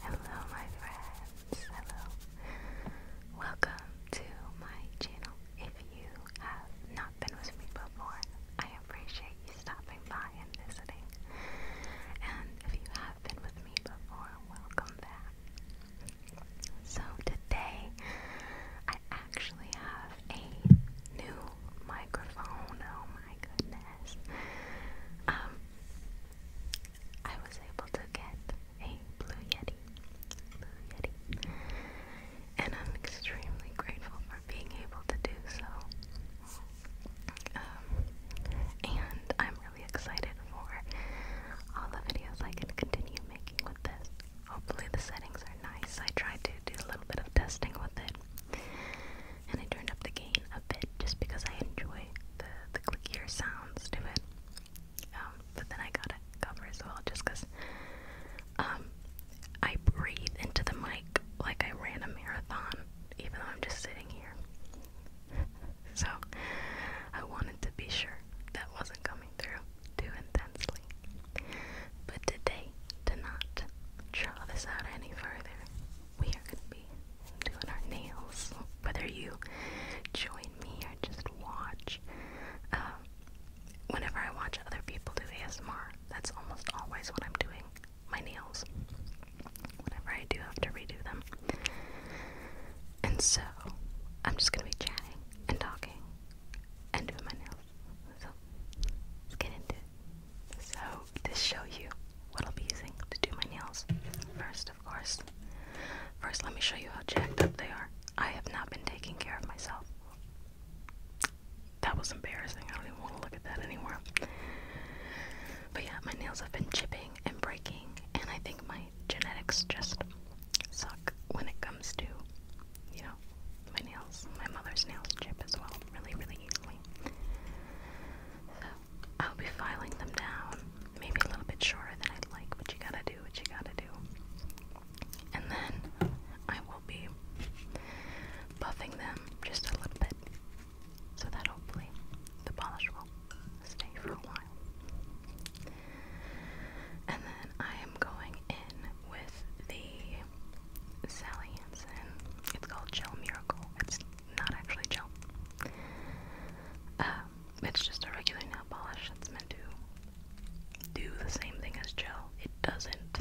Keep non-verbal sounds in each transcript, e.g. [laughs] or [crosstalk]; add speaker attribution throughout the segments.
Speaker 1: Hello, my friends. Hello. Welcome to my channel. If you have not been with me before, I appreciate you stopping by and visiting. And if you have been with me before, welcome back. So, today I actually have a new microphone. Oh, my goodness yes. Um, I was able to get a Blue Yeti. Blue Yeti. And I'm extremely grateful for being able to do so. Um, and I'm really excited for all the videos I can continue making with this. Hopefully the settings are nice. I tried to do a little bit of testing with it and I turned up the gain a bit just because I enjoy the, the clickier sounds to it. Um, but then I got it cover as well just because um, I breathe into the mic like I ran a marathon, even though I'm just sitting here. [laughs] so I wanted to be sure that wasn't coming through too intensely. But today, to not draw this out any further, we are gonna be doing our nails. Whether you join me or just watch, um, whenever I watch other people do ASMR, that's almost always what I'm doing. My nails. Whenever I do have to redo them. And so, I'm just gonna be chatting and talking and doing my nails. So, let's get into it. So, this show you what I'll be using to do my nails, first, of course, first let me show you how jacked up they are. I have not been taking care of myself. That was embarrassing. I don't even want to look at that anymore. But yeah, my nails have been chipping and breaking, and I think my genetics just suck when it comes to, you know, my nails. My mother's nails chip as well, really, really easily. So I'll be filing them down. Maybe a little bit shorter than I'd like, but you gotta do what you gotta do. And then I will be buffing them just a little bit so that hopefully the polish will stay for a while. And then I am going in with the Sally Hansen. It's called Gel Miracle not actually gel. Um, it's just a regular nail polish that's meant to do the same thing as gel. It doesn't.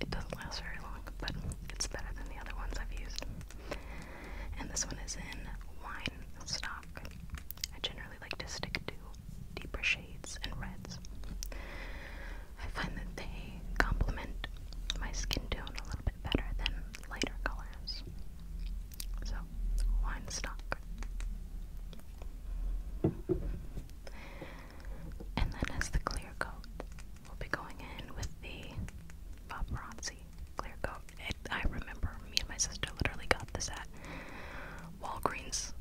Speaker 1: It doesn't last very long, but it's better than the other ones I've used. And this one is in wine stock. I generally like to stick to deeper shades and reds. I find that they complement my skin tone a little bit better than lighter colors. So, wine stock. And then, as the clear coat, we'll be going in with the paparazzi clear coat. I remember me and my sister literally got this at Walgreens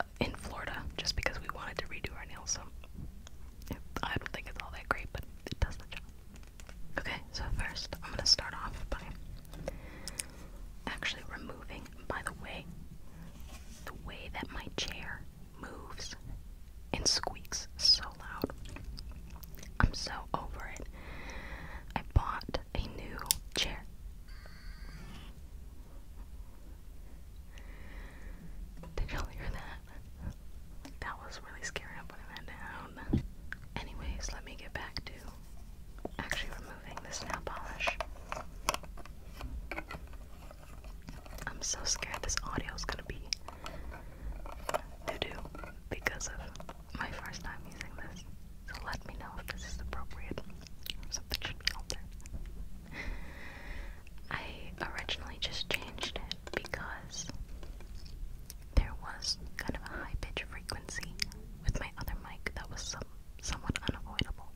Speaker 1: uh, in Florida just because we wanted to redo our nails. So, I don't think it's all that great, but it does the job. Okay, so first I'm gonna start off by actually removing, by the way, the way that my chair moves and squeaks so loud. I'm so over it. I bought a new chair. Did y'all hear that? That was really scary. I'm putting that down. Anyways, let me get back to actually removing this nail polish. I'm so scared this audio is gonna be doo doo because of my first time using this. So let me know if this is appropriate. Something should be altered. I originally just changed it it because there was kind of a high pitch frequency with my other mic that was some, somewhat unavoidable.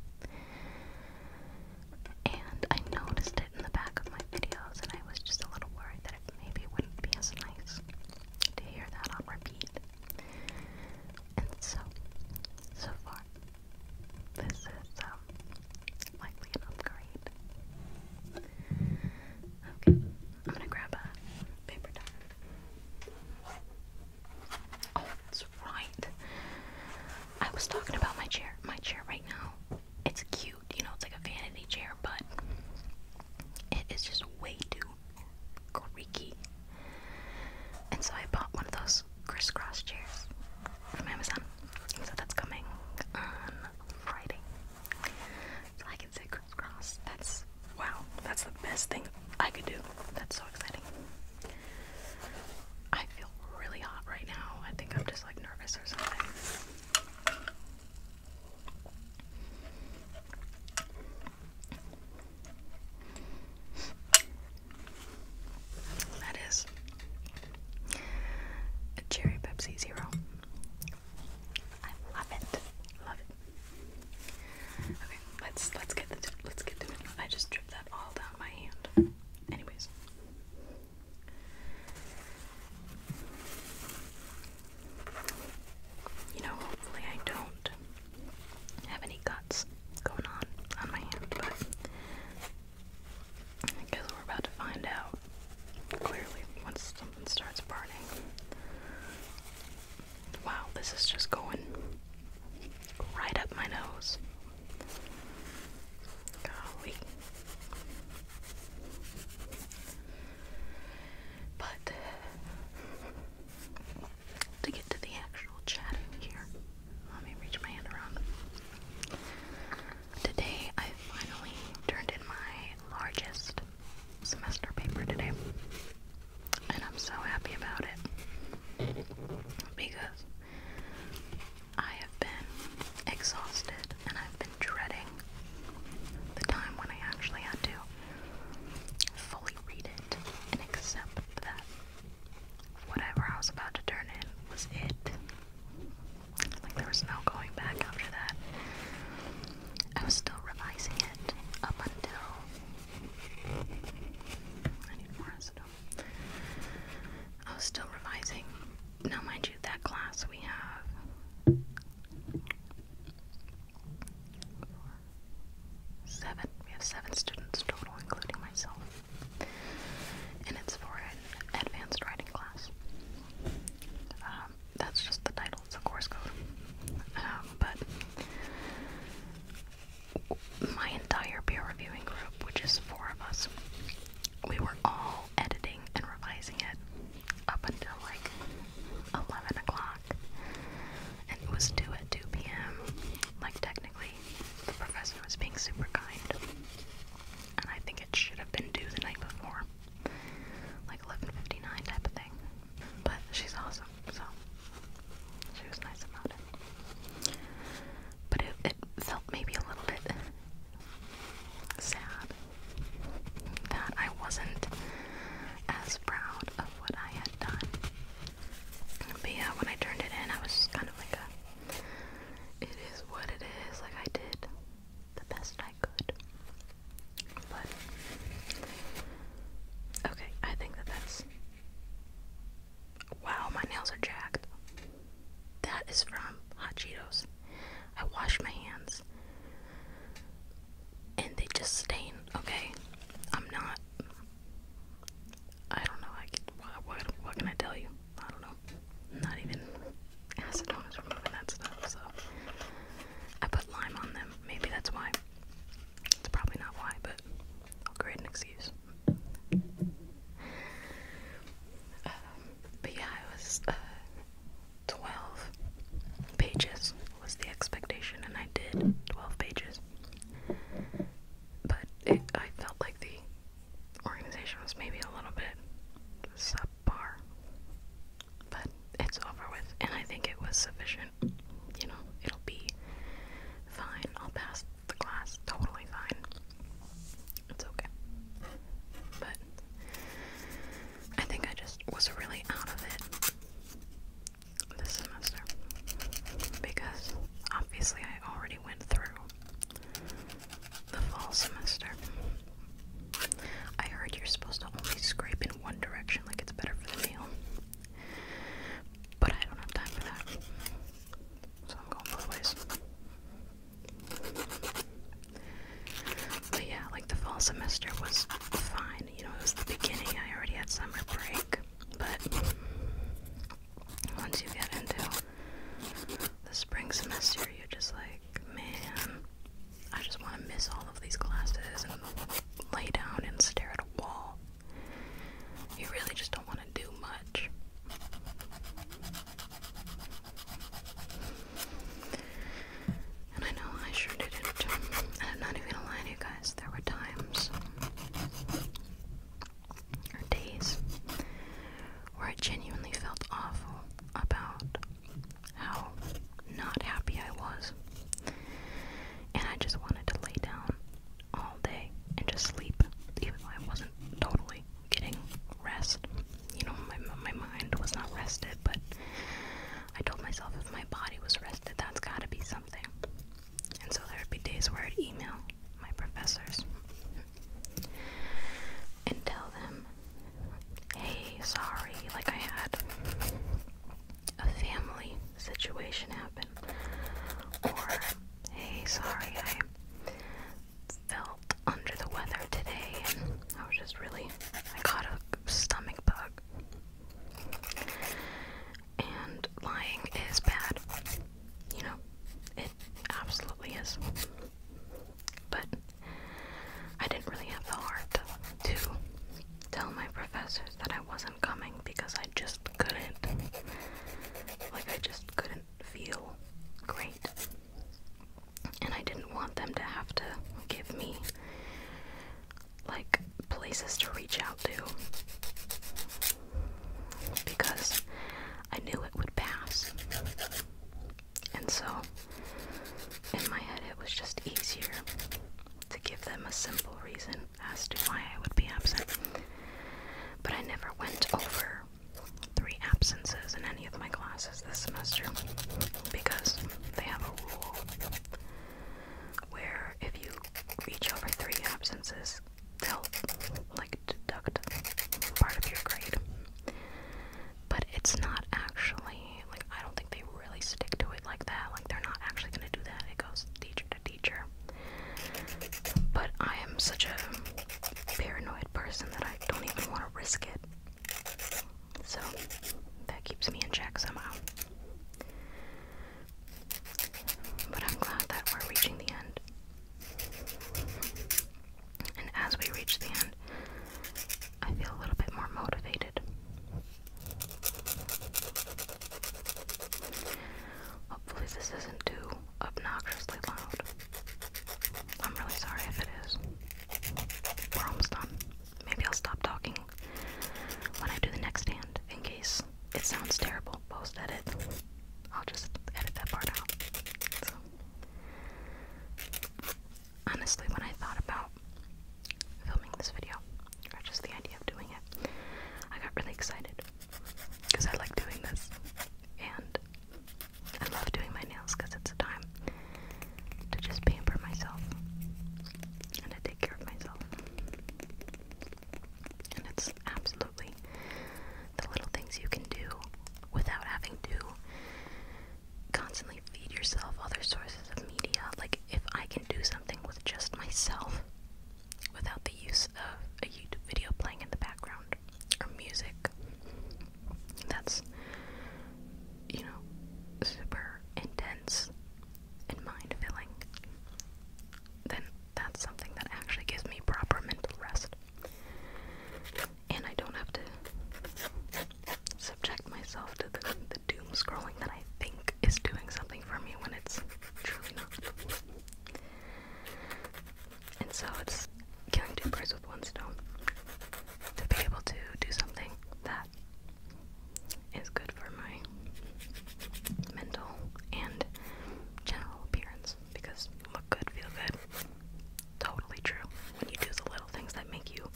Speaker 1: And I noticed it in the back of my videos, and I was just a little worried that it maybe wouldn't be as nice to hear that on repeat. And so, so far, this is um, likely an upgrade. Okay, I'm gonna grab a paper towel. Oh, that's right. I was talking about my chair. My chair right now. It's cute, you know, it's like a vanity chair, but it is just way too creaky. And so I bought one of those crisscross chairs from Amazon. So that's coming on Friday. I can say crisscross. That's wow, that's the best thing I could do. That's so exciting. I feel really hot right now. I think I'm just like nervous or something. That is a cherry Pepsi Zero. I love it. Love it. Okay, let's let's get the let's get the. it. I just dripped that all down my hand. Anyways. You know, hopefully I don't have any guts going on on my hand, but I guess we're about to find out. Clearly, once something starts burning. Wow, this is just going right up my nose. Golly. But to get to the actual chatting here, let me reach my hand around. Today I finally turned in my largest semester paper today. And I'm so happy about it because I have been exhausted and I've been dreading the time when I actually had to fully read it and accept that whatever I was about to turn in was it. Like there was no going back after that. I was still revising it up until I need more acetone. I was still revising. Now mind you that class we have seven. We have seven students total, including myself. And it's for an advanced writing class. Um, that's just the title, it's a course code. Um, but my entire peer reviewing group, which is four of us, we were all editing and revising it up until like 11 o'clock. And it was due at 2 p.m. Like, technically, the professor was being super kind. And I think it should have been due the night before like 11.59 type of thing. But she's awesome, so she was nice about it. But it, felt maybe a little bit sad that I wasn't as proud of what I had done. But when I turned it in, I was kind of like it is what it is, like I did the best I I okay, I think that that's. Wow, my nails are jacked. That is from Hot Cheetos. I wash my hands and they just stain, okay? I'm not. I don't know. I, what, what can I tell you? I don't know. Not even acid was removing that stuff, so I put lime on them. Maybe that's why. It's probably not why, but I'll create an excuse. Um, but yeah, it was uh, 12 pages was the expectation, and I did 12 pages. But I felt like the organization was maybe a little bit sub bar. But it's over with, and I think it was sufficient. You know, it'll be fine. I'll pass the class totally fine. It's okay. But I think I just was really out of it this semester because obviously I already went through the fall semester I heard you're supposed to only scrape in one direction, like it's better for the nail. But I don't have time for that. So I'm going both ways. But yeah, like the fall semester was fine. You know, it was the beginning. I already had summer break. But once you get into the spring semester, you're just like, man, I just want to miss all of these classes and lay down and stare at a wall. You really just don't want to do much. And I know I sure didn't. I'm not even gonna lie to you guys, there were times or days where I genuinely felt awful about how not happy I was. And I just wanted to lay down all day and just sleep, even though I wasn't totally getting rest. You know, my, my mind was not rested, but I told myself if my body was rested, that's gotta be something. And so there would be days where I'd email my professors and tell them, hey, sorry, like I had a family situation happen. Or, hey, sorry, I felt under the weather today and I was just really, I caught a stomach bug. And lying is bad. You know, it absolutely is. But I didn't really have the heart to tell my professors that I wasn't coming because I just couldn't. Like, I just couldn't feel great. And I didn't want them to have to give me, like, places to reach out to. Because I knew it would pass. And so, in my head, it was just easier to give them a simple reason as to why I would be absent. But I never went over three absences in any of my classes this semester because they have a rule where if you reach over three absences, they'll like deduct part of your grade but it's not actually like I don't think they really stick to it like that. Like they're not actually gonna do that. It goes teacher to teacher. But I am such a paranoid person that I don't even want to risk it. So that keeps me in check somehow. But I'm glad that we're reaching the end. And as we reach the end, I feel a little bit more motivated. Hopefully, this isn't too obnoxiously loud. I'm really sorry if it is. We're almost done. Maybe I'll stop talking when I do the next hand in case it sounds terrible post edit. I'll just edit that part out honestly, when I thought about filming this video, or just the idea of doing it, I got really excited because I like doing this and I love doing my nails because it's a time to just pamper myself and to take care of myself. And it's absolutely the little things you can do without having to constantly feed yourself other sources of media. Like, if I can do something with just myself without the use of a YouTube video playing in the background or music, that's, you know, super intense and mind filling, then that's something that actually gives me proper mental rest and I don't have to subject myself to the, doom scrolling that I think is doing something for me when it's truly not. And so it's killing two birds with one stone to be able to do something that is good for my mental and general appearance because look good, feel good. Totally true. When you do the little things that make you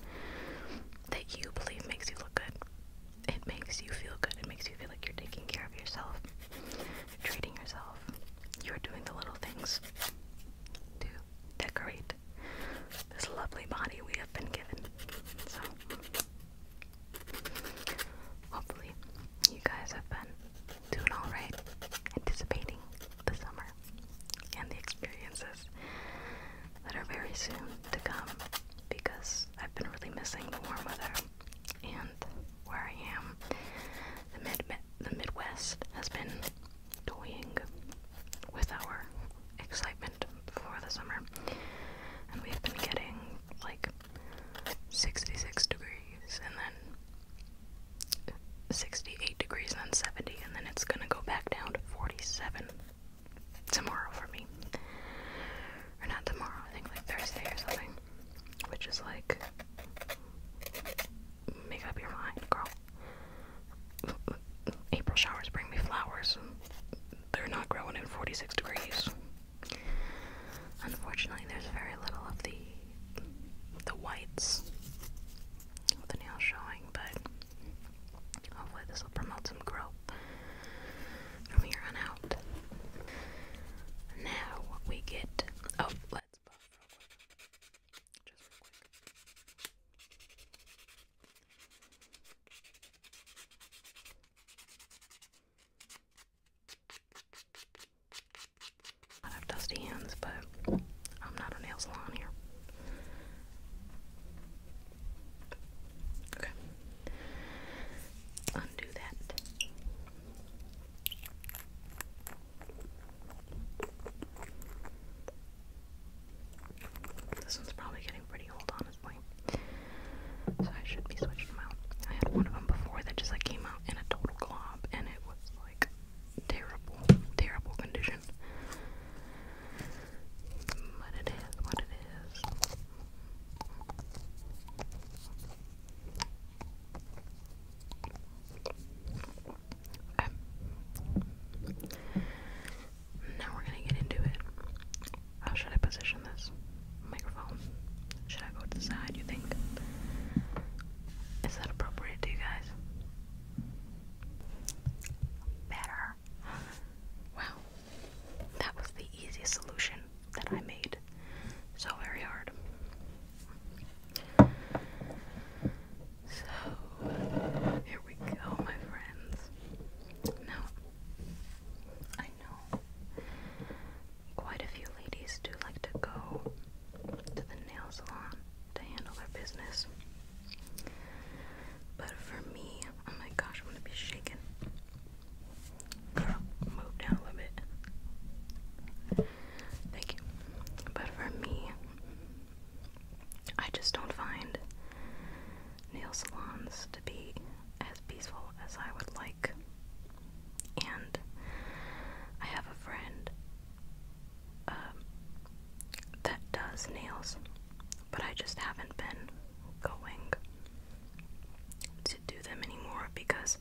Speaker 1: that you believe makes you look good. It makes you feel good. It makes you feel like you're taking care of yourself, you're treating yourself. You're doing the little things to decorate this lovely body we have been given. So, hopefully, you guys have been doing alright, anticipating the summer and the experiences that are very soon to come because I've been really missing the warm weather and where I am. The, mid the Midwest has been toying with our excitement for the summer, and we've been getting like 66 degrees and then. 68 degrees and 70 and then it's going to go back down to 47 tomorrow for me. Or not tomorrow, I think like Thursday or something. Which is like, make up your mind, girl. April showers bring me flowers. They're not growing at 46 degrees. Unfortunately, there's very little of the the whites the nail showing, but Hopefully, this will promote some growth from here on out. Now we get. Oh, let's buff Just real quick. I have dusty hands, but I'm not a nail salon here. Okay. Undo that. This one's probably getting pretty old, honestly. So I should be switching them out. I had one of them before that just like came out in a total glob, and it was like terrible, terrible condition. But it is what it is. Okay. Now we're gonna get into it. How should I position this microphone? Should I go to the side, you think? Is that appropriate to you guys? Better. Wow. That was the easiest solution that I made. So very hard. So, here we go, my friends. Now, I know quite a few ladies do like to go to the nail salon to handle their business. But for me, oh my gosh, I'm gonna be shaken. Girl, move down a bit. Thank you. But for me, I just don't find nail salons to be as peaceful as I would like. And I have a friend um, that does nails, but I just haven't been going to do them anymore because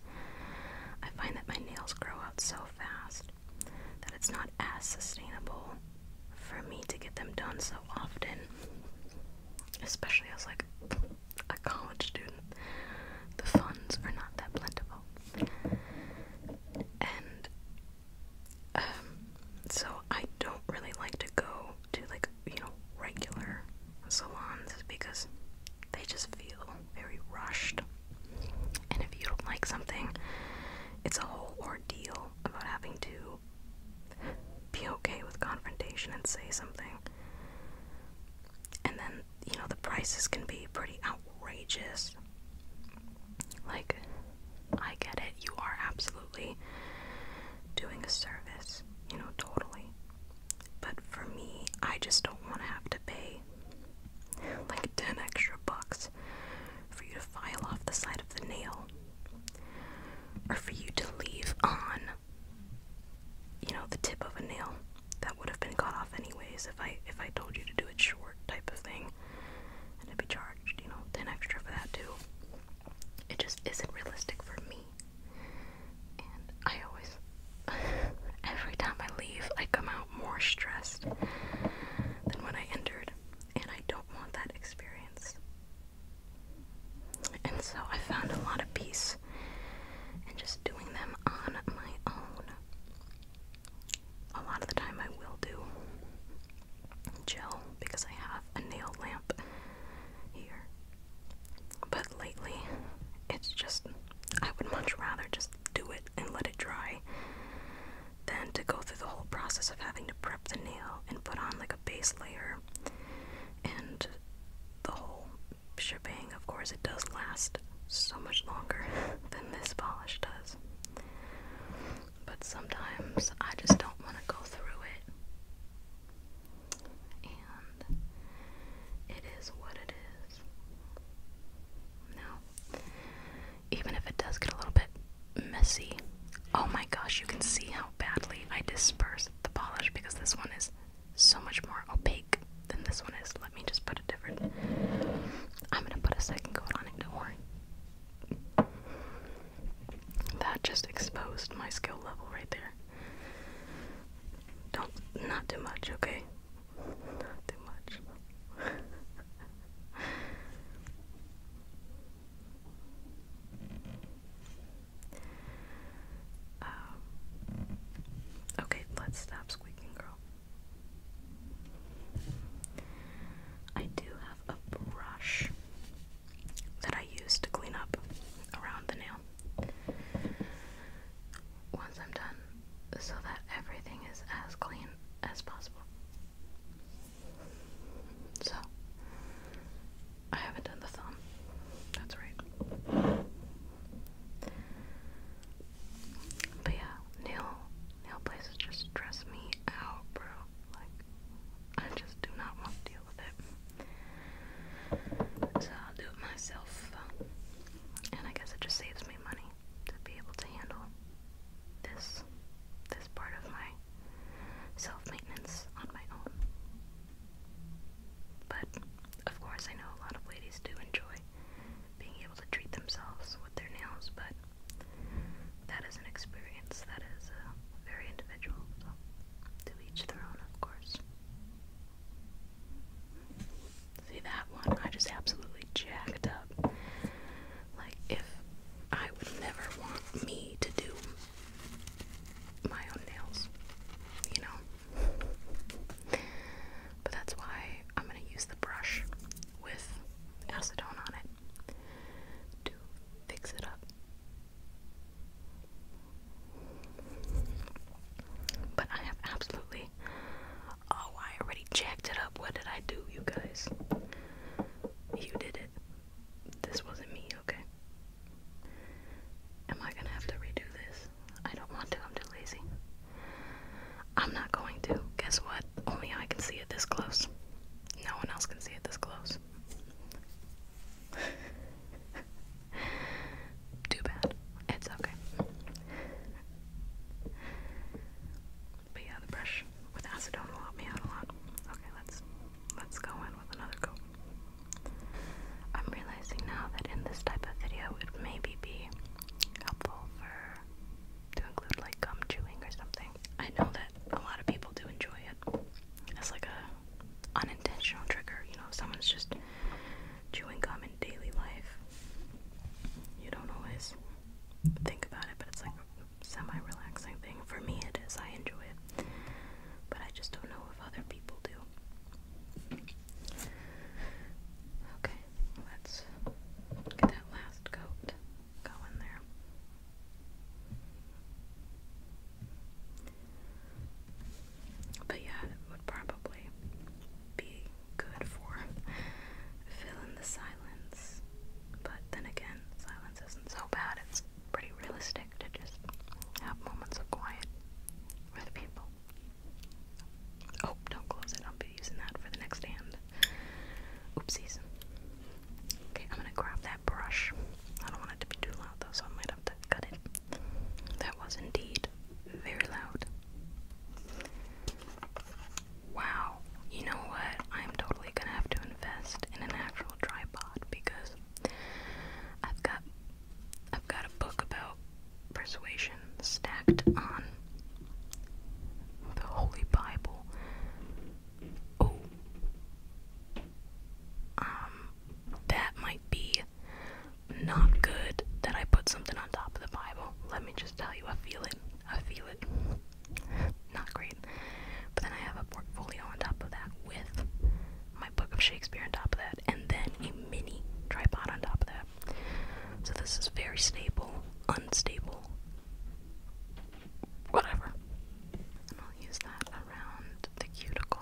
Speaker 1: I find that my nails grow out so fast that it's not as sustainable for me to get them done so often, especially as like a college student. The funds are not that plentiful. And um, so I don't really like to go to like, you know, regular salons because they just feel very rushed. And if you don't like something, it's a whole ordeal about having to be okay with confrontation and say something. And then, you know, the prices can be pretty outrageous. Like, I get it. You are absolutely doing a service, you know, totally. But for me, I just don't want to have to pay like 10 extra bucks for you to file off the side of the nail or for you to leave on, you know, the tip of a nail that would have been cut off anyways if I if I told you to do it short type of thing and to be charged, you know, 10 extra for that too. It just isn't realistic for me. And I always, [laughs] every time I leave, I come out more stressed than when I entered, and I don't want that experience. And so I found a lot of peace in just doing them on my own. A lot of the time I will do gel because I have a nail lamp here. But lately, it's just, I would much rather just do it and let it dry than to go through the whole process of having to prep the nail and put on like a base layer and the whole shebang. Of course, it does last so much longer [laughs] than this polish does but sometimes I just don't want to go through it. And it is what it is. Now, even if it does get a little bit messy, oh my gosh, you can see how badly I disperse the polish because this one is so much more opaque than this one is. Let me just put a different. I'm gonna put a second coat on it, don't worry. That just exposed my skill level right there. Don't, not too much, okay? Not too much. [laughs] Um, okay, let's stop squeaking, girl. I do a brush that I use to clean up around the nail once I'm done so that everything is as clean as possible. So, I haven't done the thumb. That's right. But yeah, nail nail places just stress me out, bro. Like, I just do not want to deal with it. So I'll do it myself. And I guess it just saves me money to be able to handle this this part of my self-maintenance on my own. But of course I know a lot of ladies do enjoy being able to treat themselves with their nails, but that is an experience that is uh, very individual. to each their own, of course. See that one? I just absolutely jacked up. Like if I would never want me to do my own nails, you know. But that's why I'm gonna use the brush with acetone on it to fix it up. But I have absolutely. Oh, I already jacked it up. What did I do, you guys? You did it. This wasn't me, okay? Am I gonna have to redo this? I don't want to, I'm too lazy. I'm not going to. Guess what? Only I can see it this close. No one else can see it this close. [laughs] Too bad. It's okay. But yeah, the brush with acetone will me out a lot. Okay, let's let's go in with another coat. I'm realizing now that in this type of video it may be helpful for to include like gum chewing or something. I know that a lot of people do enjoy it. It's like a unintentional trigger, you know, someone's just chewing gum in daily life. You don't always think about it, but it's like semi-relaxing thing. For me it is, I enjoy it. But I just don't know if other people do. Okay, let's get that last coat go in there. But yeah, it would probably be good for fill in the silence. But then again, silence isn't so bad. It's pretty realistic to just have moments of quiet with people. Oh, don't close it. I'll be using that for the next hand. Oopsies. Okay, I'm gonna grab that brush. I don't want it to be too loud though, so I might have to cut it. That was indeed very loud. Wow, you know what? I'm totally gonna have to invest in an actual tripod because I've got I've got a book about persuasion stacked on the Holy Bible Oh. Um, that might be not good that I put something on top of the Bible. Let me just tell you, I feel it. I feel it. not great. But then I have a portfolio on top of that with my book of Shakespeare on top of that, and then a mini tripod on top of that. So this is very stable, unstable, whatever. I'll use that around the cuticle.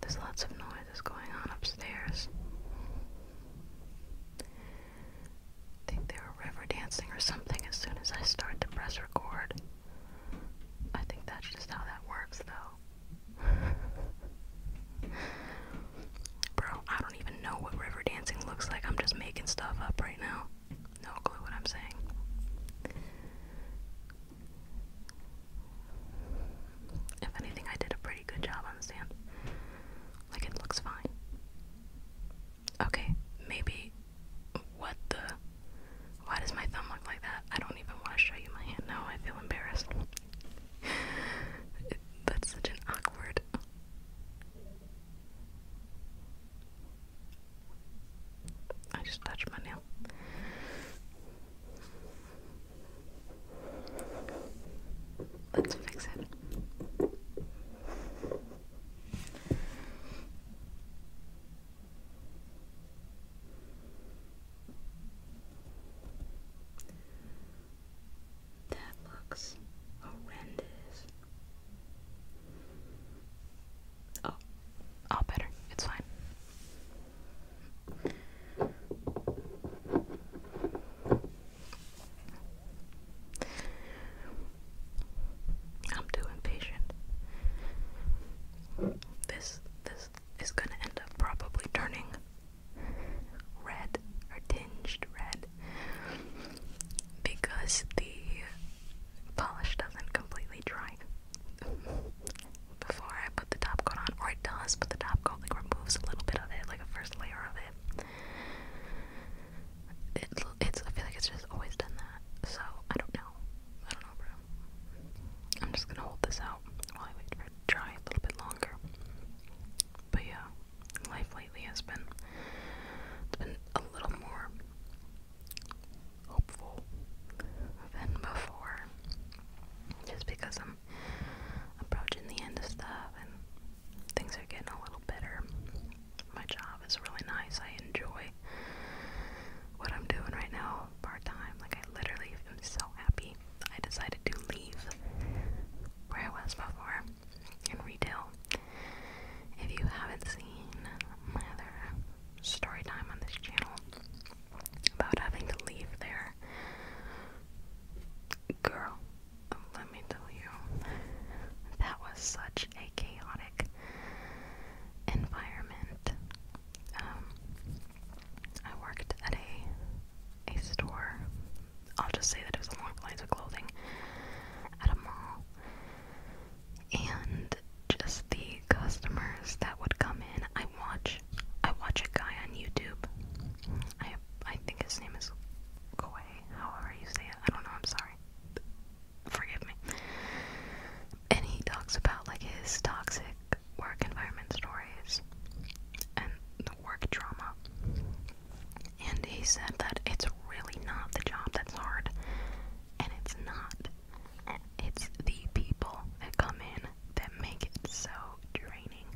Speaker 1: There's lots of noise that's going on upstairs. I think they were river dancing or something as soon as I start to press record. I think that's just how that works, though. [laughs] Bro, I don't even know what river dancing looks like. I'm just making stuff up right now. No clue what I'm saying. If anything, I did a pretty good job on the sand. Like, it looks fine. Okay, maybe. What the? Why does my thumb look like that? I don't even want to show you my hand now. I feel embarrassed. [laughs] that's such an awkward. I just touched my nail. Let's fix it. That looks horrendous. Oh, all better. It's fine. I'm too impatient. This this is gonna end up probably turning red or tinged red because the polish doesn't completely dry before I put the top coat on, or it does, but the top coat like removes a little bit of it, like a first layer of it. It, it's, I feel like it's just always done that, so I don't know. I don't know, bro. I'm just gonna hold this out while I wait for it to dry a little bit longer. But yeah, life lately has been been a little more hopeful than before. Just because I'm approaching the end of stuff and things are getting a little better. My job is really nice. I enjoy what I'm doing right now part time. Like I literally am so happy. I decided to leave where I was before and retail. If you haven't seen my other story time on this channel about having to leave there, girl, let me tell you, that was such a chaotic environment. Um, I worked at a a store I'll just say that it was a long lines of clothing at a mall. And just the customers that would come in. I watch I watch a guy on YouTube. I I think his name is Koi, however you say it. I don't know, I'm sorry. Forgive me. And he talks about like his toxic work environment stories. And work trauma. And he said that it's really not the job that's hard. And it's not. It's the people that come in that make it so draining.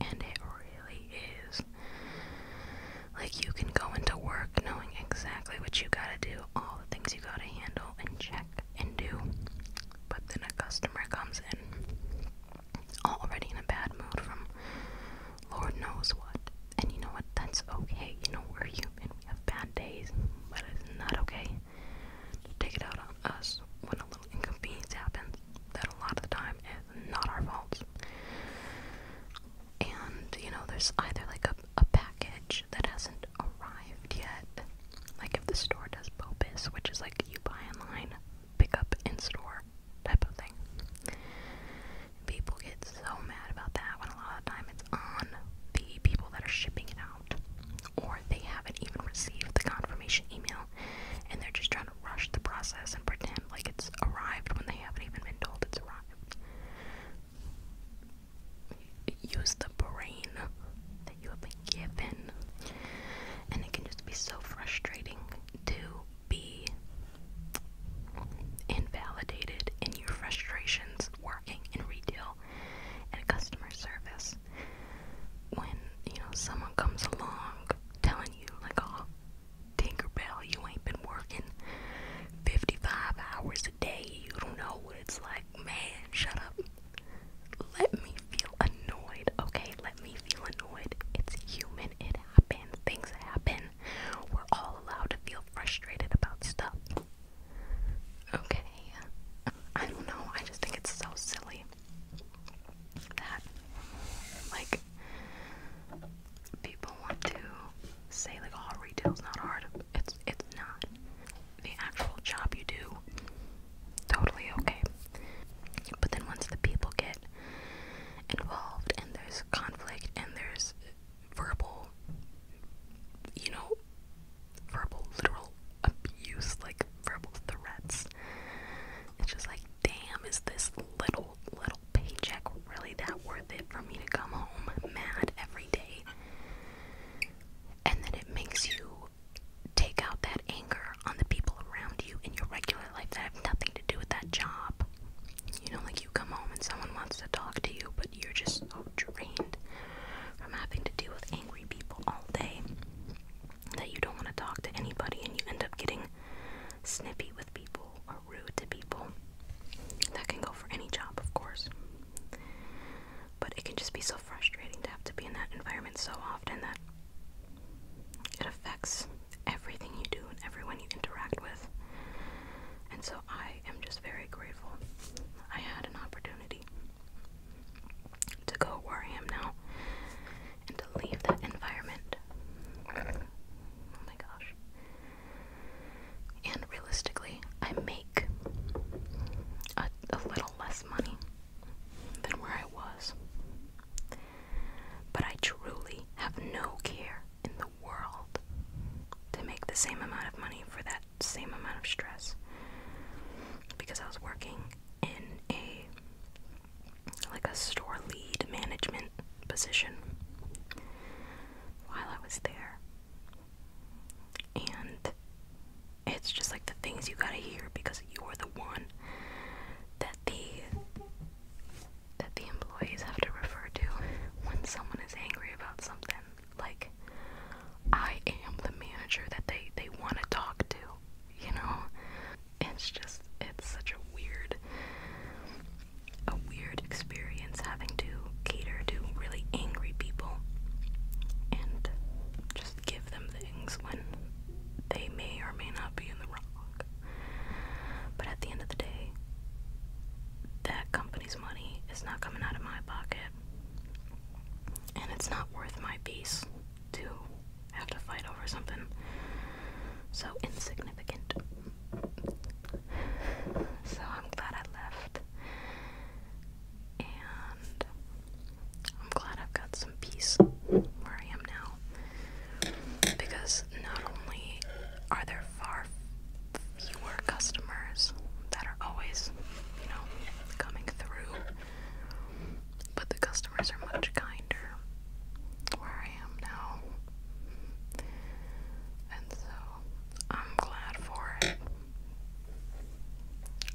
Speaker 1: And it really is. Like, you can go into work knowing exactly what you gotta do, all the things you gotta handle, and check and do. But then a customer comes in already in a bad mood from Lord knows what. And you know what? That's okay. You know, we're human. We have bad days. But it's not okay to take it out on us when a little inconvenience happens that a lot of the time is not our fault. And, you know, there's either like a, a package that hasn't arrived yet. Like if the store does BOPIS, which is like you buy online, pick up in store, type of thing. People get so mad about that when a lot of the time it's on the people that are shipping it out, or they haven't even received the confirmation email and they're just trying to rush the process and pretend like it's arrived when they haven't even been told it's arrived. Use the brain that you have been given, and it can just be so frustrating to be invalidated in your frustrations working in retail and customer service when you know someone comes along telling you like oh tinkerbell you ain't been working 55 hours a day you don't know what it's like man shut up let me feel annoyed okay let me feel annoyed it's human it happen, things happen. We're all allowed to feel frustrated about stuff. Okay. [laughs] I don't know. I just think it's so silly that, like, people want to say, like, oh, retail's not hard. It's, it's not. The actual job you do, totally okay. But then once the people get involved and there's conflict and there's verbal you know verbal literal abuse like verbal threats it's just like damn is this little little paycheck really that worth it for me to come home mad every day and then it makes you take out that anger pressure on the people around you in your regular life that have nothing to do with that job. You know, like you come home and someone wants to talk to you, but you're just so drained from having to deal with angry people all day that you don't want to talk to anybody and you end up getting snippy with people or rude to people. That can go for any job, of course. But it can just be so frustrating to have to be in that environment so often that it affects everything you do and everyone you interact with. And so I am just very grateful. I had an opportunity to go where I am now and to leave that environment. Oh my gosh. And realistically, I make a, a little less money than where I was. But I truly have no care in the world to make the same amount of money for that same amount of stress because I was working in a like a store lead management position while I was there. And it's just like the things you gotta hear because you're the one that the that the employees have to refer to when someone is angry about something. Like, I am the manager that they, they want to talk to, you know? It's just, it's such a weird, a weird experience having to cater to really angry people and just give them things when they may or may not be in the wrong. But at the end of the day, that company's money is not coming out of my pocket. And it's not worth my peace to have to fight over something so insignificant. So I'm glad I left. And I'm glad I've got some peace where I am now. Because not only are there far fewer customers that are always, you know, coming through, but the customers are much kinder where I am now. And so I'm glad for it.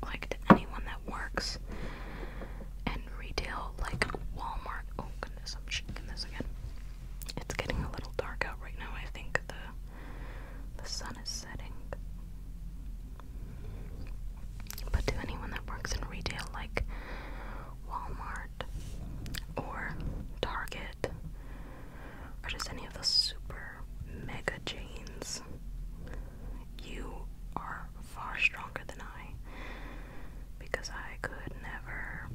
Speaker 1: Like anyone that works retail like Walmart. Oh goodness, I'm shaking this again. It's getting a little dark out right now. I think the the sun is setting. But to anyone that works in retail like Walmart or Target or just any of the super mega chains, you are far stronger than I because I could never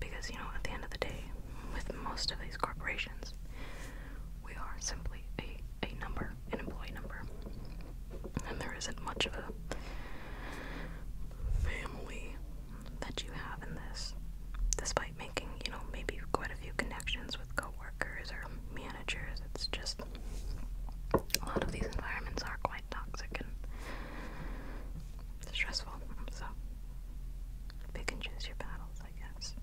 Speaker 1: because you know at the end of the day with most of these corporations we are simply a, a number, an employee number. And there isn't much of a family that you have in this. Despite making, you know, maybe quite a few connections with coworkers or managers, it's just a lot of these environments are quite toxic and stressful. So pick and choose your battles, I guess.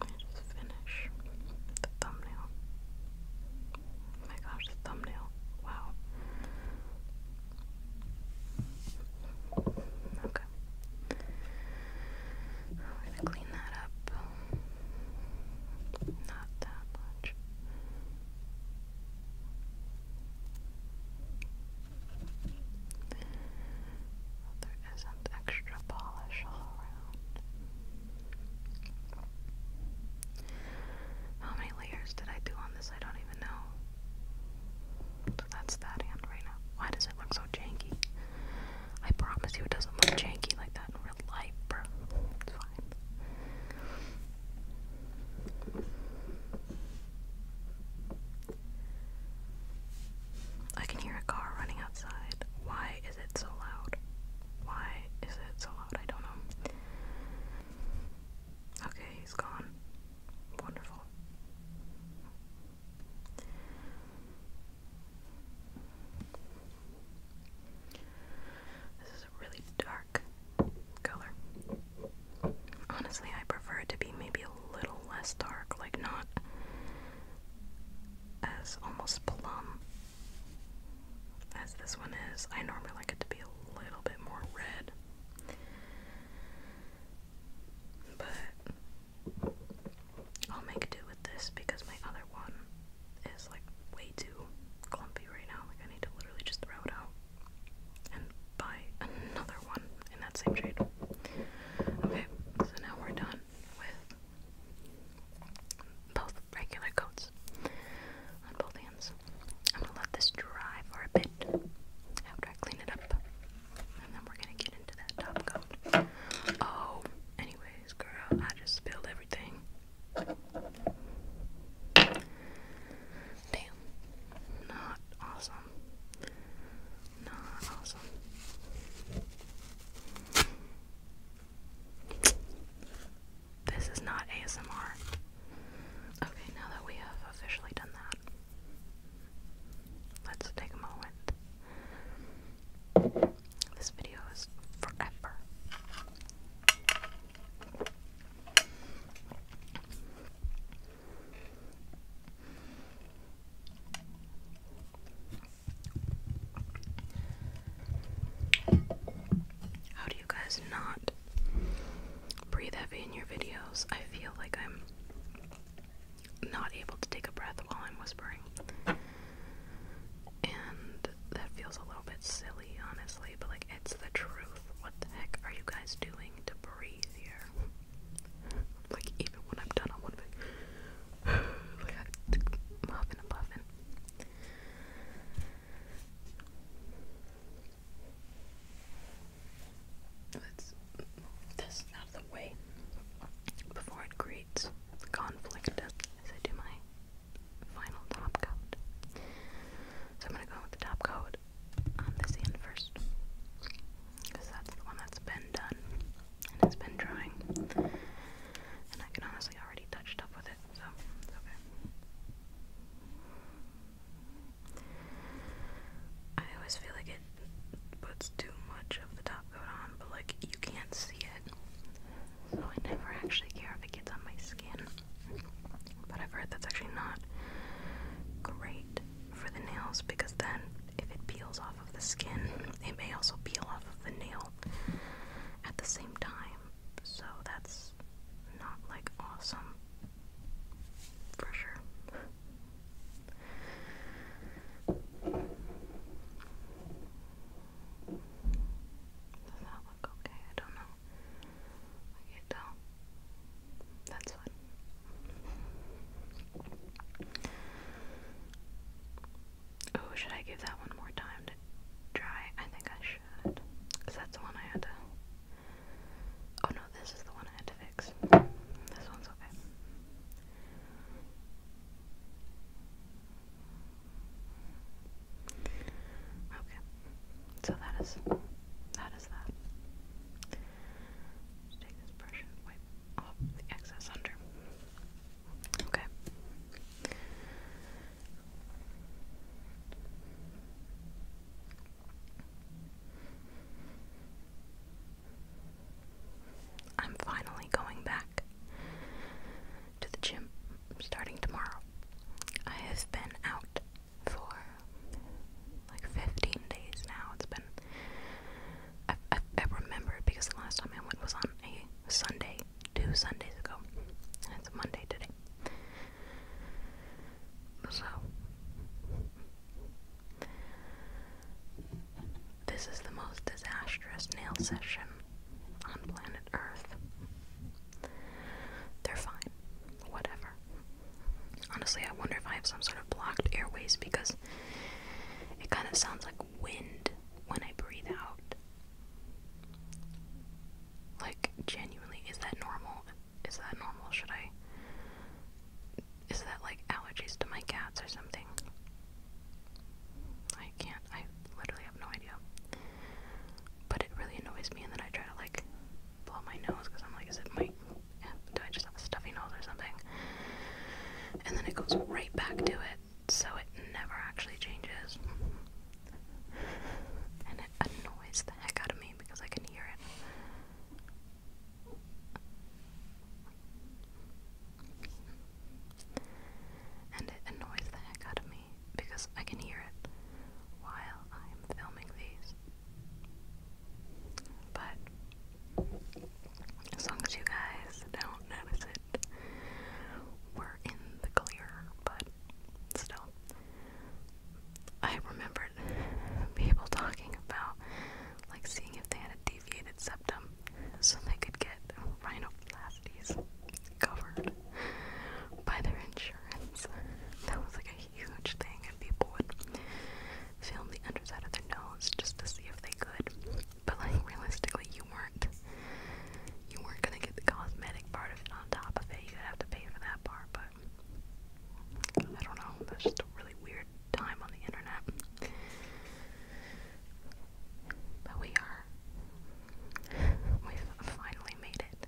Speaker 1: Let me just finish the thumbnail. Oh my gosh, the thumbnail. Wow. Okay. I'm gonna clean that up. Not that much. there isn't extra polish all around. How many layers did I do on this? I don't even know. that's that hand right now. Why does it look so janky? I promise you it doesn't look janky like that in real life, bro. It's fine. I can hear a car running outside. Why is it so loud? Why is it so loud? I don't know. Okay, he's gone. Wonderful. This is a really dark color. Honestly, I prefer it to be maybe a little less dark, like not as almost plum as this one is. I normally like it to be a little bit more red. But I'll make do with this because my other one is like way too clumpy right now. Like I need to literally just throw it out and buy another one in that same shade. Okay, so now we're done with both regular coats on both hands. I'm gonna let this dry for a bit after I clean it up. And then we're gonna get into that top coat. Oh, anyway, girl, I just spilled everything. Damn. Not awesome. Not awesome. This is not ASMR. Okay, now that we have officially done that, let's take a moment this video is forever. How do you guys not breathe heavy in your videos? I feel like I'm not able to take a breath while I'm whispering. And that feels a little bit silly, honestly, but like it's the truth. What the heck are you guys doing to breathe here? Like, even when I'm done on one [sighs] like i and puffing. Let's move this out of the way before it creates conflict as I do my final top coat. So I'm going to go with the top coat on this end first. Because that's the one that's been done and it's been drying. And I can honestly already touch up with it, so it's okay. I always feel like it puts too much of the top but like you can't see it. So I never actually care if it gets on my skin. But I've heard that's actually not great for the nails because then if it peels off of the skin, it may also peel off of the nail at the same time. So that's not like awesome for sure. Does that look okay? I don't know. I can't That's fun. Oh, should I give that one more time to dry? I think I should. Because that's the one I had to. Oh no, this is the one I had to fix. This one's okay. Okay, so that is that is that. take this brush and wipe off the excess under. Okay. I'm finally going back to the gym starting tomorrow. I have been out for like 15 days now. It's been. I, I, I remember because the last time I went was on a Sunday, two Sundays ago. It's a Monday today. So. This is the most disastrous nail session on planet Earth. They're fine. Whatever. Honestly, I wonder if I have some sort of blocked airways because it kind of sounds like wind when I breathe out. Like, genuinely, is that normal? Is that normal? Should I. Is that like allergies to my cats or something? I can't, I literally have no idea. But it really annoys me, and then I try to like blow my nose because I'm like, is it my, do I just have a stuffy nose or something? And then it goes right back to it, so it never actually changes. And it annoys the heck out of me because I can hear it. And it annoys the heck out of me because I can hear it while I'm filming these. But as long as you guys don't notice it, we're in the clear, but still. I remembered people talking about like seeing if they had a deviated septum so they could get rhinoplasties covered by their insurance. That was like a huge thing, and people would film the underside of their nose just to see if they could. But like realistically, you weren't you weren't gonna get the cosmetic part of it on top of it. You'd have to pay for that part. But I don't know. That's just a really weird time on the internet. But we are. We've finally made it.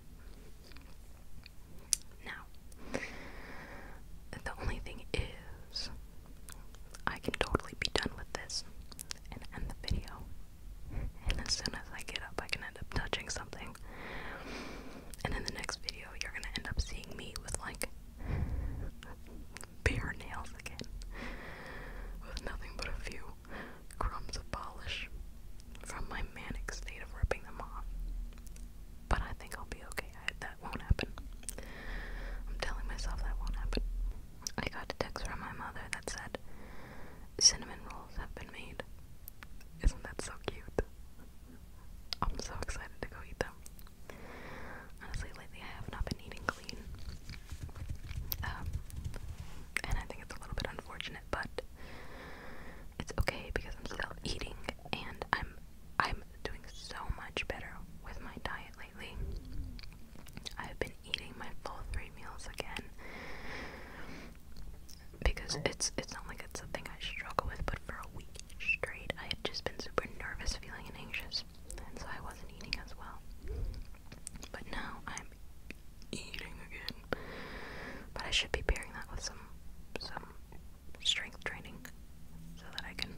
Speaker 1: Now, the only thing is, I can totally be done with this and end the video. And as soon as I get up, I can end up touching something. And in the next video, you're gonna end up seeing me with like bare nails again, with nothing but a few crumbs of polish from my manic state of ripping them off. But I think I'll be okay. I, that won't happen. I'm telling myself that won't happen. I got a text from my mother that said, Cinnamon rolls have been made. Isn't that so cute? I'm so excited to go eat them. Honestly, lately I have not been eating clean. Um, and I think it's a little bit unfortunate, but it's okay because I'm still eating and I'm I'm doing so much better with my diet lately. I've been eating my full three meals again because it's it's not like it's a thing I struggle with, but for a week straight I had just been super nervous, feeling anxious, and so I wasn't eating as well. But now I'm eating again. But I should be pairing that with some some strength training so that I can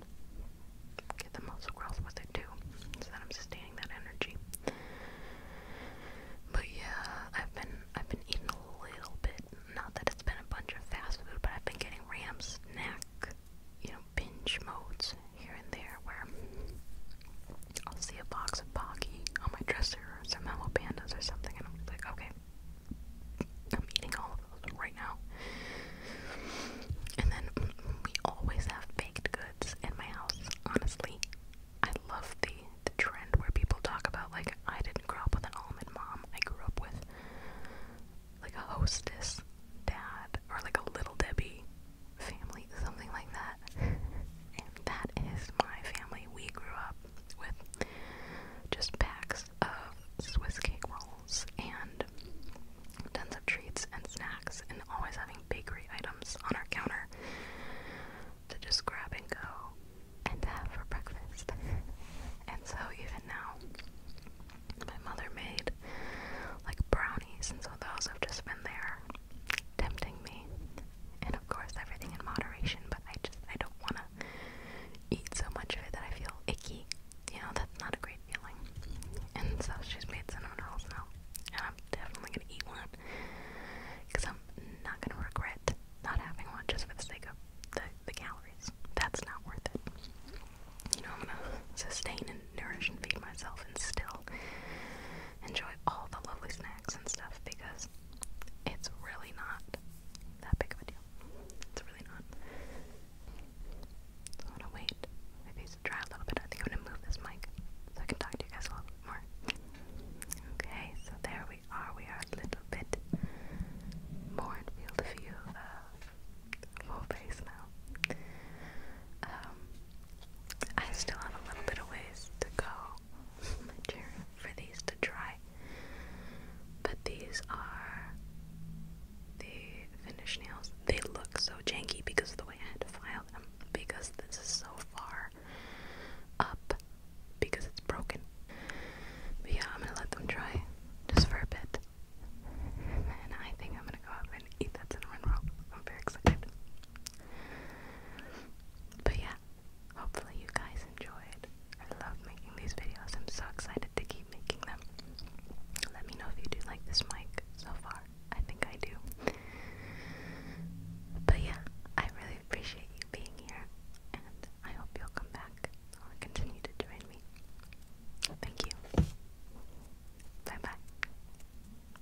Speaker 1: get the muscle growth with it too. So that I'm sustaining that energy. But yeah, I've been I've been eating a little bit. Not that it's been a bunch of fast food, but I've been getting Ram's snack, you know, binge modes here and there where I'll see a box of Pocky on my dresser or some Hello Pandas or something, and I'm like, okay, I'm eating all of those right now. And then we always have baked goods in my house, honestly. I love the, the trend where people talk about, like, I didn't grow up with an almond mom, I grew up with like a hostess dad or like a little Debbie family, something like that. and that is my family. We grew up with just packs of Swiss cake rolls and tons of treats and snacks, and always having bakery items on our counter to just grab and go and have for breakfast. and so, even now, my mother made like brownies, and so those have just been there tempting me. And of course, everything in moderation, but I just, I don't want to eat so much of it that I feel icky. You know, that's not a great feeling. And so she's made cinnamon rolls now. And I'm definitely going to eat one. Because I'm not going to regret not having one just for the sake of the, the calories. That's not worth it. You know, I'm going to sustain and nourish and feed myself and still enjoy all the lovely snacks and stuff because it's really not that big of a deal. It's really not. So I'm gonna wait maybe it's dry a little bit. I think I'm gonna move this mic so I can talk to you guys a little bit more. Okay, so there we are. We are a little bit more in field of view of uh, full face now. Um, I still have a little bit of ways to go for these to dry. But these are the finished nails. They look so janky because of the way I had to file them. Because this is so far up because it's broken. But yeah, I'm gonna let them dry just for a bit. And I think I'm gonna go up and eat that cinnamon roll. I'm very excited. But yeah, hopefully you guys enjoyed. I love making these videos. I'm so excited to keep making them. Let me know if you do like this mic so far. I think I do. But yeah, I really appreciate you being here, and I hope you'll come back continue to join me. Thank you. Bye bye.